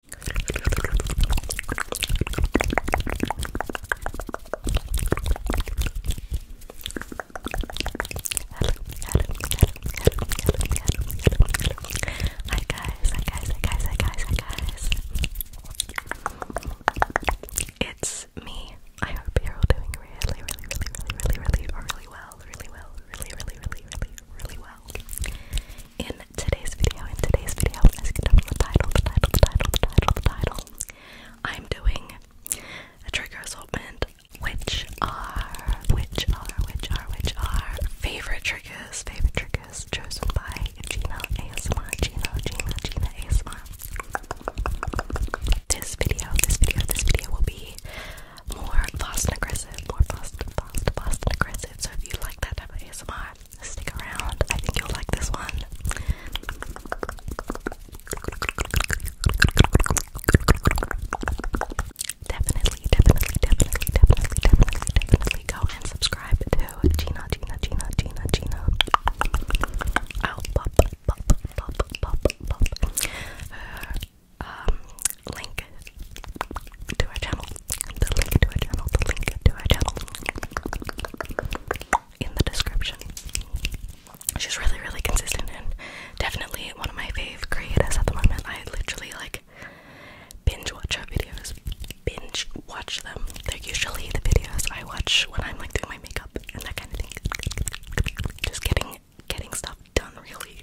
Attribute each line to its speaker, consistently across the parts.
Speaker 1: Hi guys, hi guys, hi guys, hi guys, hi guys. It's me. I hope you're all doing really, really, really, really, really, really, really well, really well, really, really, really, really, really well in today's video, in today's video, as you can tell from the title, the title, the title, the title, the title, I'm doing a trigger assortment, which are, which are, which are, which are favorite triggers, favorite triggers chosen by Gina ASMR, Gina, Gina, Gina ASMR. This video, this video, this video will be more fast and aggressive, more fast, fast, fast and aggressive. So if you like that type of ASMR, stick around. I think you'll like this one. Definitely, definitely, definitely, definitely, definitely, definitely go and subscribe to Gina, Gina, Gina, Gina, Gina. I'll oh, pop, pop, pop, pop, pop her um, link to her channel the link to her channel, the link to her channel in the description. She's really, really consistent and definitely one of my fave creators at the moment. I literally like binge watch her videos. Binge watch them. They're usually the videos I watch when I'm like doing my makeup and that kind of thing. Just getting getting stuff done really.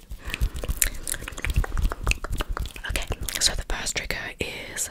Speaker 1: Okay, so the first trigger is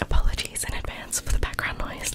Speaker 1: Apologies in advance for the background noise.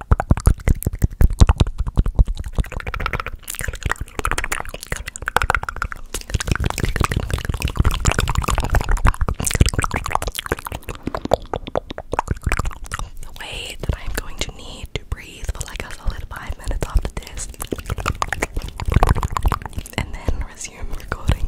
Speaker 1: The way that I'm going to need to breathe for like a solid five minutes after this, and then resume recording.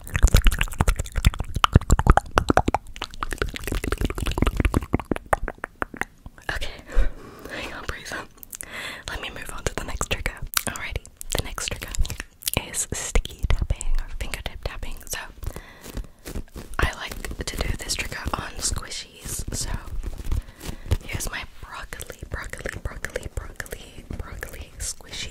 Speaker 1: Okay, I can't Let me move on to the next trigger. Alrighty, the next trigger is sticky tapping or fingertip tapping. So, I like to do this trigger on squishies. So, here's my broccoli, broccoli, broccoli, broccoli, broccoli squishy.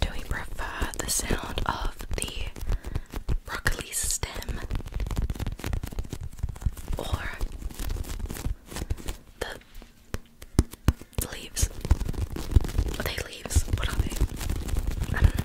Speaker 1: Do we prefer the sound of the broccoli stem or the leaves. Are they leaves? What are they? I don't know.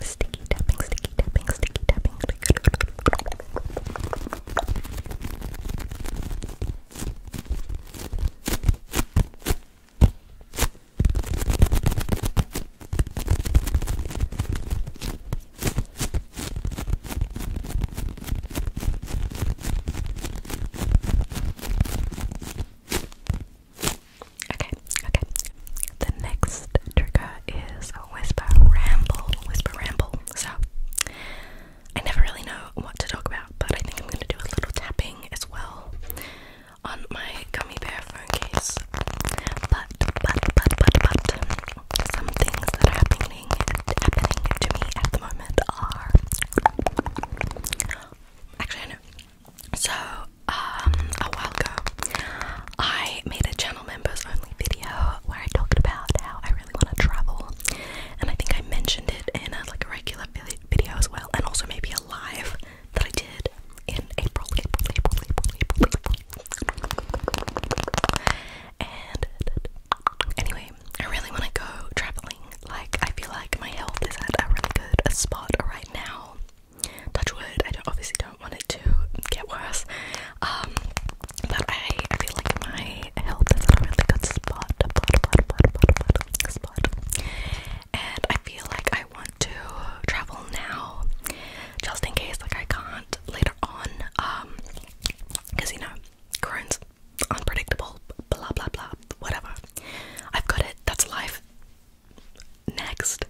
Speaker 1: Sticky tapping, sticky tapping, sticky tapping. Okay, okay. The next trigger is whisper ramble. Whisper ramble. So I never really know what to talk about, but I think I'm gonna do a little tapping as well on my gummy bear phone case. But but but but but some things that are happening happening to me at the moment are actually So um, a while ago I made a channel members only video where I talked about how I really want to travel and I think I mentioned it in like a regular video as well and also maybe a live that I did in April. And anyway, I really want to go traveling. Like, I feel like my health is at a really good a spot right now. Touch wood. I don't, obviously don't want it to get worse. Um, but I, I feel like my health is at a really good spot. Spot. And I feel like I want to travel now, just in case like I can't. Later later on. Um, because you know, currents unpredictable, blah blah blah, whatever. I've got it, that's life. Next,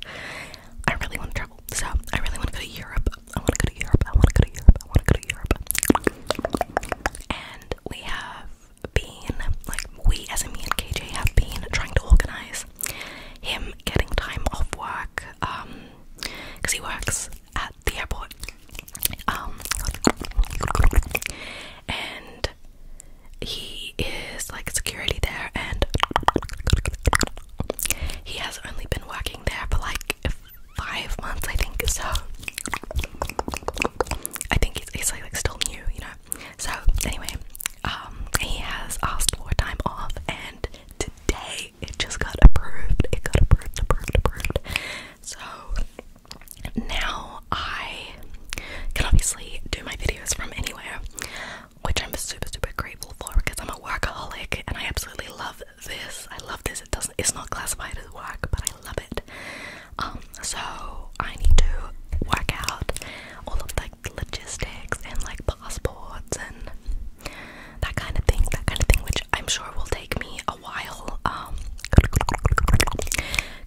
Speaker 1: I really want to travel, so I really want to go to Europe. I want to go to Europe, I want to go to Europe, I want to go to Europe. And we have been, like, we as in me and KJ have been trying to organize him getting time off work, um, because he works at the airport. Um, and he is like security there, and he has only been working there for like five months, I think. So I think he's, he's like still new, you know. So anyway, um, he has asked for time off, and today. It just got approved. It got approved, approved, approved. So now I can obviously do my videos from anywhere, which I'm super, super grateful for because I'm a workaholic and I absolutely love this. I love this. It doesn't. It's not classified as work, but I love it. Um, so I need to work out all of like logistics and like passports and that kind of thing, that kind of thing, which I'm sure will take me a while. Um,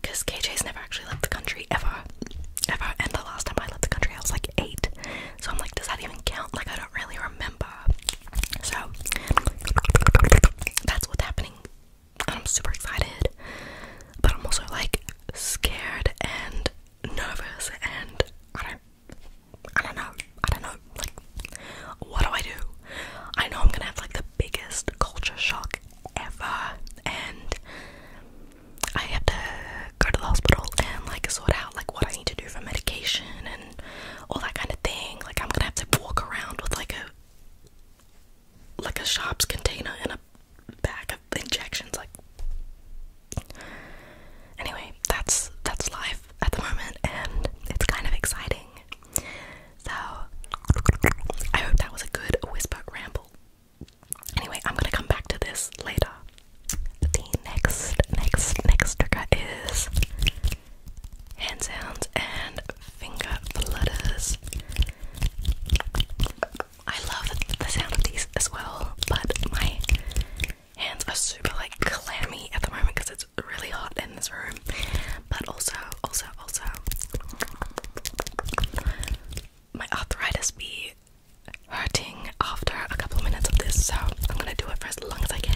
Speaker 1: because KJ's never actually left the country ever, ever. And the last time I left the country, I was like eight. So I'm like, does that even count? Like, I don't really remember. So that's what's happening. I'm super excited, but I'm also like scared and nervous, and I don't I don't know. I don't know. Like, what do I do? I know I'm gonna have like the biggest culture shock ever, and I have to go to the hospital and like sort out like what I need to do for medication and all that kind of thing. Like, I'm gonna have to walk around with like a like a sharps container and a bag of injections. Like, anyway, that's that's life at the moment, and it's kind of exciting. So, I hope that was a good whisper ramble. Anyway, I'm gonna come back to this later. The next, next, next trigger is hand sounds and finger flutters. I love the sound of these as well, but my hands are super like clammy at the moment because it's really hot in this room. But also, also, also, my arthritis be hurting after a couple of minutes of this, so I'm gonna do it for as long as I can.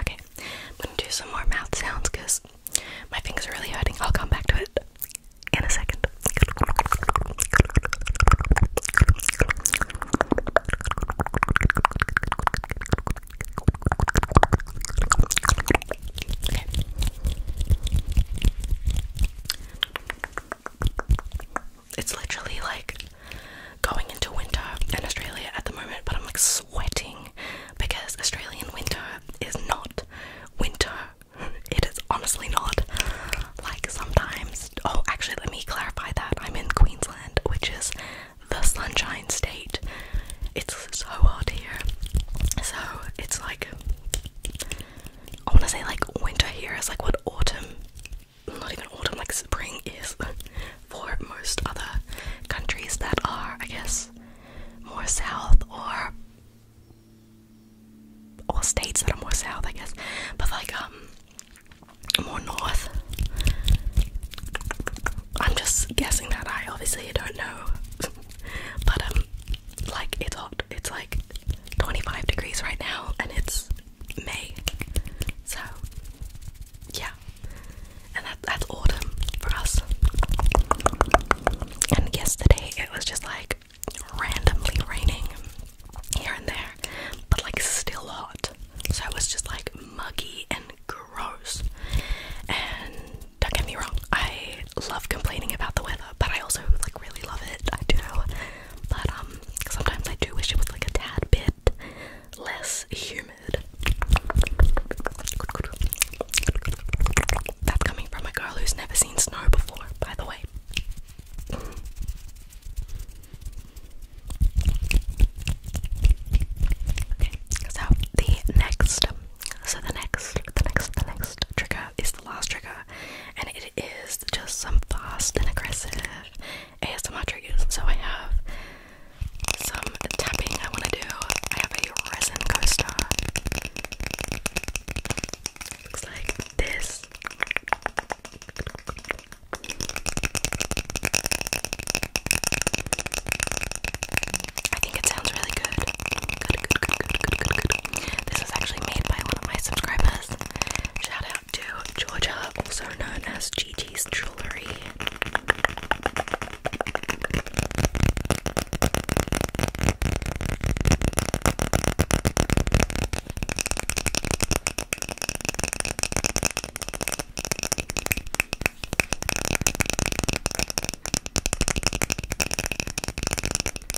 Speaker 1: Okay, I'm gonna do some more mouth sounds because my fingers are really hurting. I'll come back to it in a second. It's literally like going into winter in Australia at the moment, but I'm like sweating because Australian winter is not winter. It is honestly not. Like sometimes, oh, actually, let me clarify that I'm in Queensland, which is the sunshine state. It's so hot here, so it's like I want to say like winter here is like what autumn, not even autumn, like spring is for most other countries that are, I guess, more south or or states that are more south, I guess, but like um more north. I'm just guessing that I obviously don't know, but um, like it's hot. It's like 25 degrees right now and it's May. So, yeah. And that, that's autumn for us. And yesterday it was just like randomly raining here and there, but like still hot. So it was just like muggy and gross. And don't get me wrong, I love complaining about the weather, but I also like really love it. I do but um, sometimes I do wish it was like a tad bit less humid. That's coming from a girl who's never seen snow before, by the way. Okay, so the next, so the next, the next, the next trigger is the last trigger, and it is just some fast and aggressive ASMR triggers. So I have some tapping I want to do. I have a resin coaster. Looks like this. I think it sounds really good. Good, good, good, good, good, good, good. This is actually made by one of my subscribers. Shout to Georgia, also known as Gigi's Jewelry.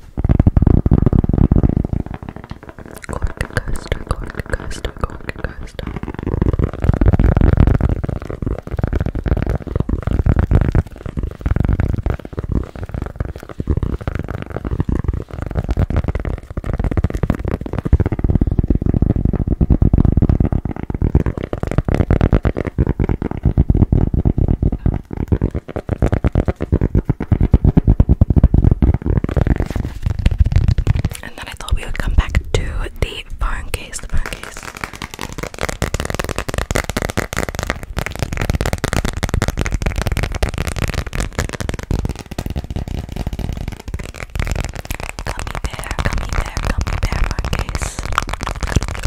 Speaker 1: Cork coaster, cork coaster, cork coaster. And then I thought we would come back to the phone case, the phone case. Gummy bear, gummy bear, gummy bear phone case.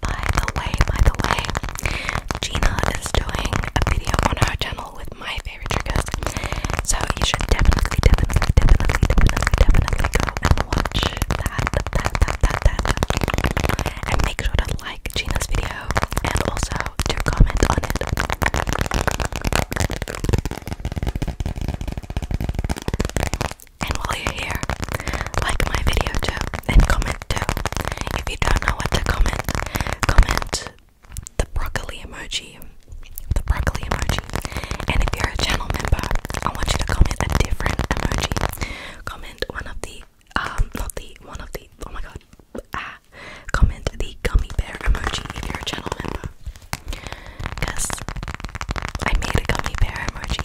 Speaker 1: By the way, by the way, Gina is doing a video on her channel with my favorite triggers. So you should definitely, definitely, definitely, definitely, definitely go and watch that, that, that, that, that. And make sure to like Gina's video and also to comment on it. And while you are here, Like my video too, and comment too. If you don't know what to comment, comment the broccoli emoji. The broccoli emoji. And if you're a channel member, I want you to comment a different emoji. Comment one of the um not the one of the oh my god ah comment the gummy bear emoji if you're a channel member because I made a gummy bear emoji.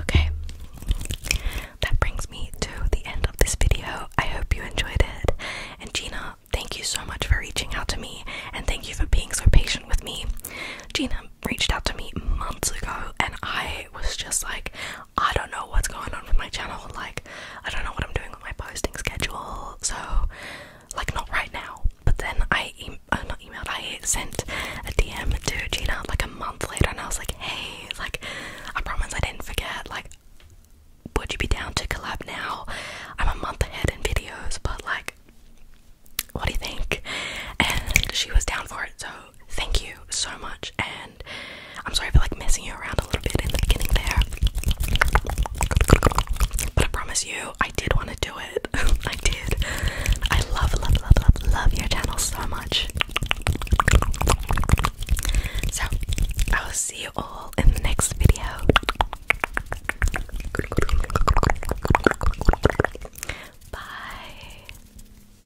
Speaker 1: Okay, that brings me to the end of this video. I hope you enjoyed it. And Gina, thank you so much for reaching out to me and thank you for being so patient with me. Gina reached out to me months ago and I was just like, I don't know what's going on with my channel. Like, I don't know what I'm doing with my posting schedule. So, like, not right now. But then I uh, not emailed. I sent a DM to Gina like a month later, and I was like, "Hey, like, I promise I didn't forget. Like, would you be down to collab now? I'm a month ahead in videos, but like." What do you think? And she was down for it, so thank you so much, and I'm sorry for like messing you around a little bit in the beginning there. But I promise you, I did want to do it. I did. I love, love, love, love, your channel so much. So, I will see you all in the next video. Bye.